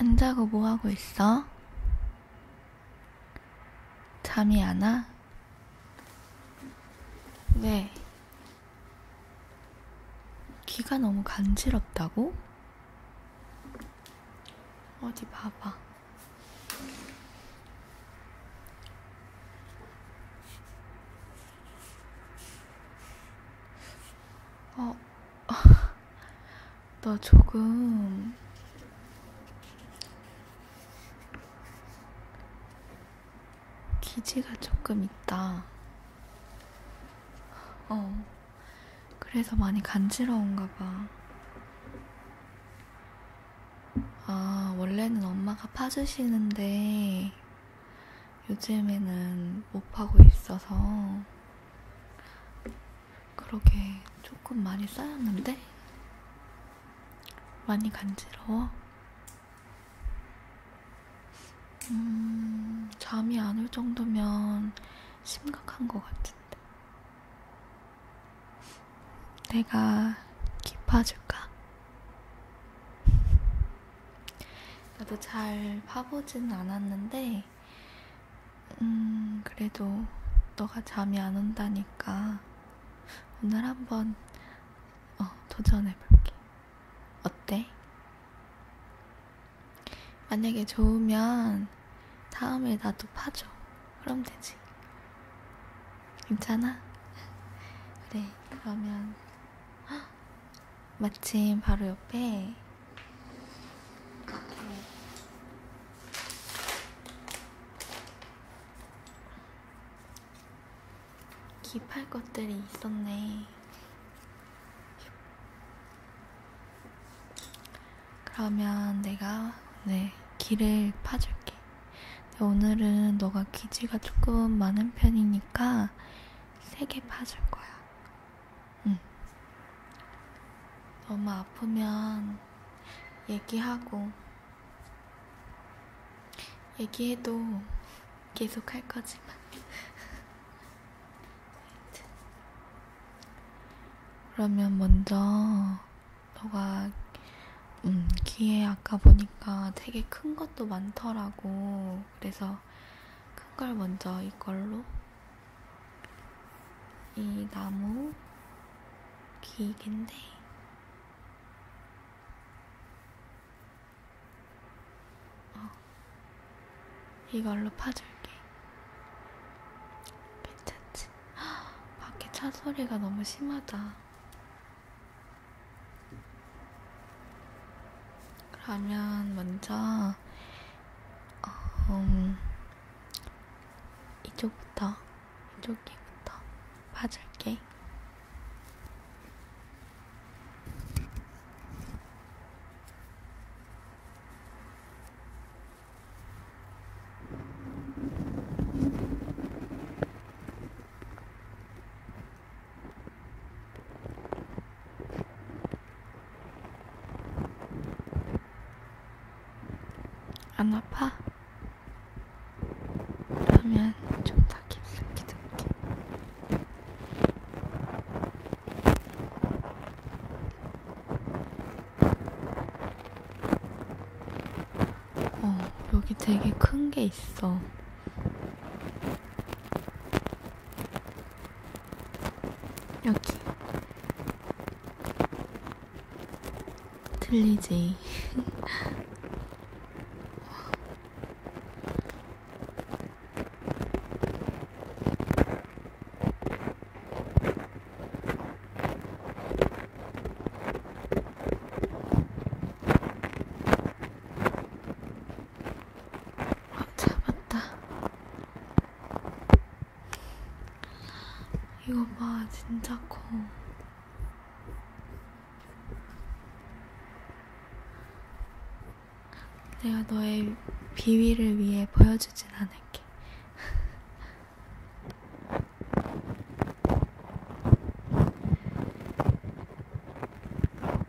안 자고 뭐 하고 있어? 잠이 안 와? 왜? 귀가 너무 간지럽다고? 어디 봐봐. 어, 나 조금 기지가 조금 있다. 어, 그래서 많이 간지러운가 봐. 아, 원래는 엄마가 파주시는데 요즘에는 못 파고 있어서 그러게 조금 많이 쌓였는데 많이 간지러워. 음, 잠이 안 올 정도면 심각한 것 같은데. 내가 깊어줄까? 나도 잘 파보진 않았는데, 음, 그래도 너가 잠이 안 온다니까 오늘 한번 어, 도전해볼게. 어때? 만약에 좋으면 다음에 나도 파줘. 그럼 되지. 괜찮아? 그래, 그러면. 마침 바로 옆에 기팔 것들이 있었네. 그러면 내가 네 귀를 파줄게. 오늘은 너가 귀지가 조금 많은 편이니까 세게 파줄 거야. 응. 너무 아프면 얘기하고, 얘기해도 계속 할 거지만. 그러면 먼저 너가 음, 귀에 아까 보니까 되게 큰 것도 많더라고. 그래서 그래서 큰걸 먼저 이걸로 이 나무 기계인데 어, 이걸로 파줄게 괜찮지? 헉, 밖에 차 소리가 너무 심하다 그러면 먼저 어, 이쪽부터 이쪽에부터 봐줄게. 안 아파? 그러면 좀 더 깊숙이 듣게. 어, 여기 되게 큰 게 있어. 여기 들리지? 잡았다. 이거 봐, 진짜 커. 내가 너의 비위를 위해 보여주진 않을게.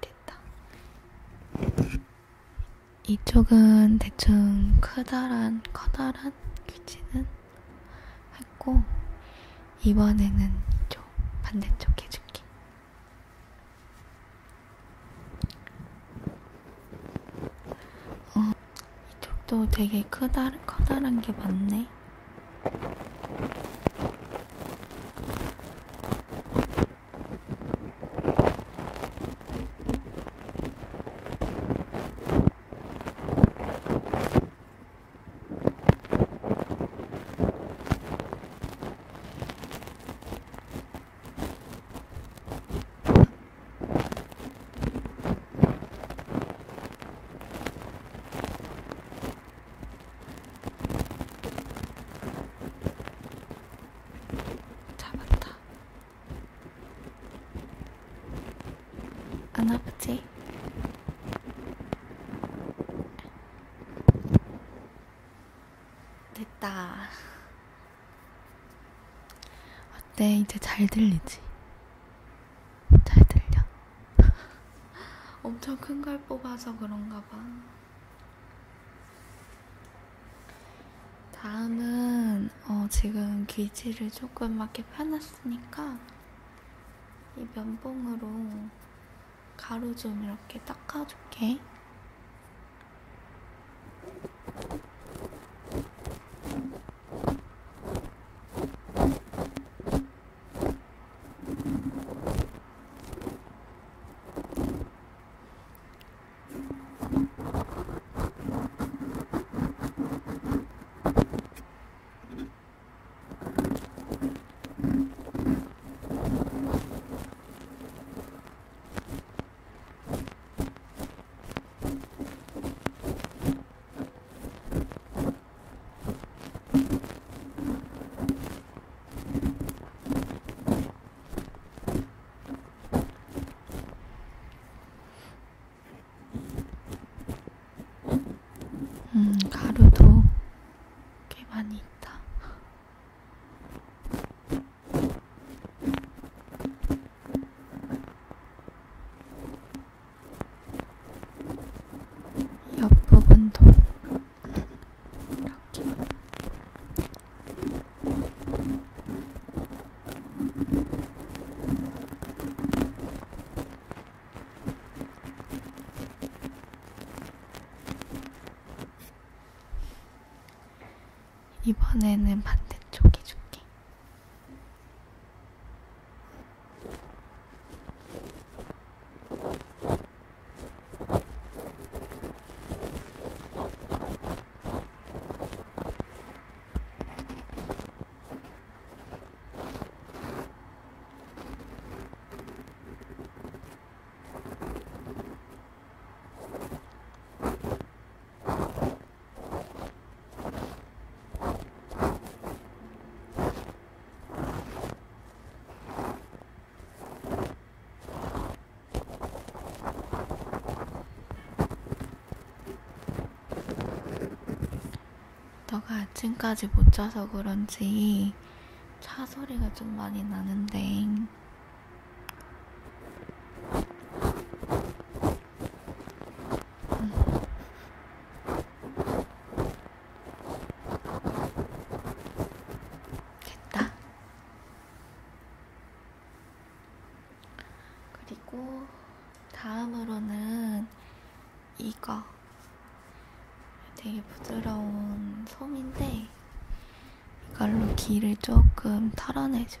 됐다. 이쪽은 대충 커다란 커다란 규칙은 했고 이번에는 이쪽 반대쪽 해줄게. 어, 이쪽도 되게 크다, 커다란 게 많네. 잡았다. 안 아프지? 됐다. 어때? 이제 잘 들리지? 잘 들려? 엄청 큰 걸 뽑아서 그런가 봐. 다음은 어, 지금 귀지를 조금 맞게 펴놨으니까 이 면봉으로 가루 좀 이렇게 닦아줄게. 음, 가루도 꽤 많이 있다. 옆부분도 이렇게 이번에는 반대쪽 해줄게. 너가 아침까지 못 자서 그런지 차 소리가 좀 많이 나는데 됐다. 그리고 다음으로는 이거. 되게 부드러운 솜인데 이걸로 기를 조금 털어내줄게.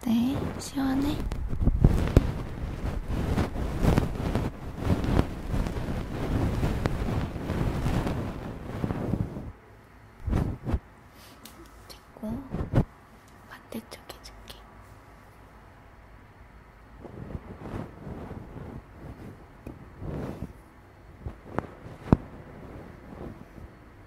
어때? 시원해? 됐고 반대쪽 해줄게. 음,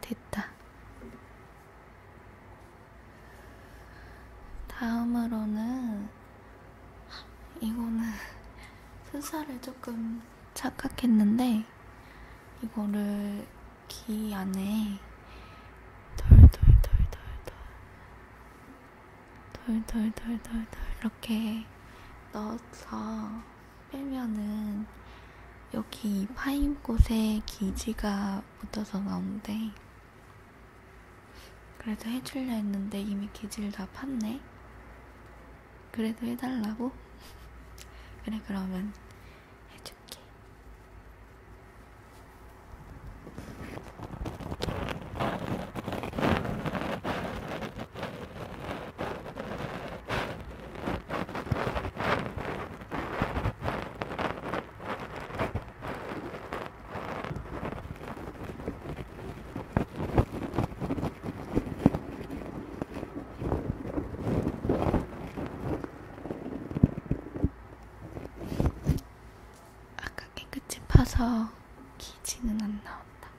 됐다. 다음으로는 이거는 수사를 조금 착각했는데 이거를 귀 안에 돌돌돌돌돌 돌돌돌돌돌 이렇게 넣어서 빼면은 여기 파인꽃에 기지가 묻어서 나온대. 그래도 해줄려 했는데 이미 기지를 다 팠네. 그래도 해달라고? 그래 그러면 해줄게. 아까 깨끗이 파서 기지는 안 나온다.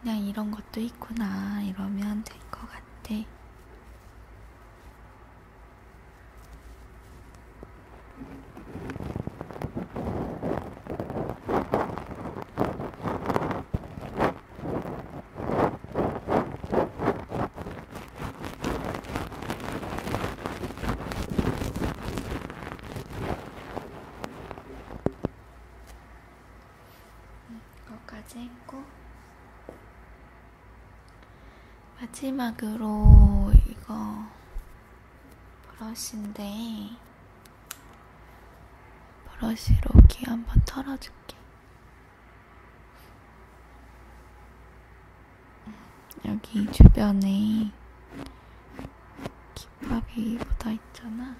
그냥 이런 것도 있구나 이러면 될 것 같아. 그것까지 했고 마지막으로 이거 브러쉬인데 브러쉬로 귀 한번 털어줄게 여기 주변에 김밥이 묻어 있잖아.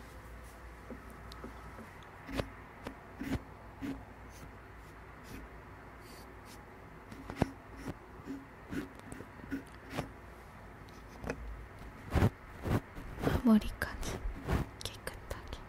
머리까지 깨끗하게.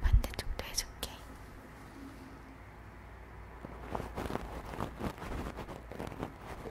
반대쪽도 해줄게.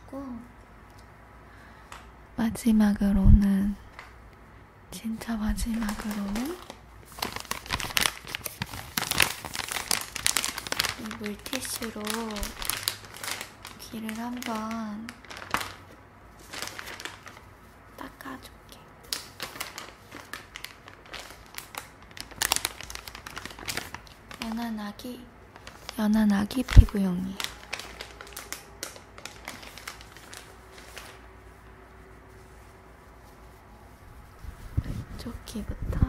있고 마지막으로는 진짜 마지막으로는 이 물티슈로 귀를 한번 닦아줄게. 연한 아기, 연한 아기 피부용이에요. 조끼부터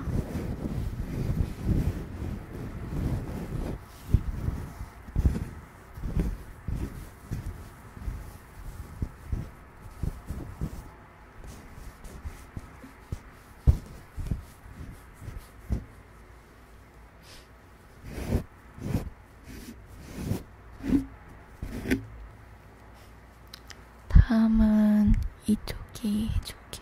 다음은 이쪽이 이쪽이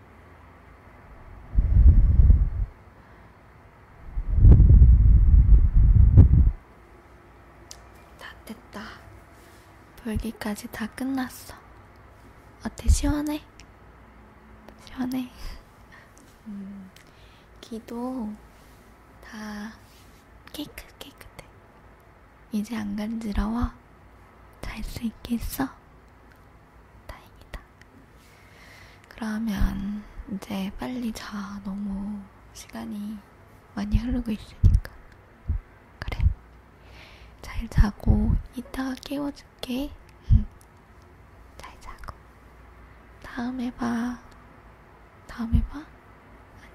다 됐다. 돌기까지 다 끝났어. 어때, 시원해? 시원해. 음, 귀도 다 깨끗, 깨끗해. 이제 안 간지러워? 잘 수 있겠어? 다행이다. 그러면 이제 빨리 자. 너무 시간이 많이 흐르고 있으니까. 그래. 잘 자고 이따가 깨워줄게. 응. 잘 자고. 다음에 봐. 다음에 봐? 아니,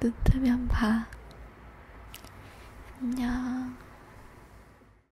눈 뜨면 봐. 안녕.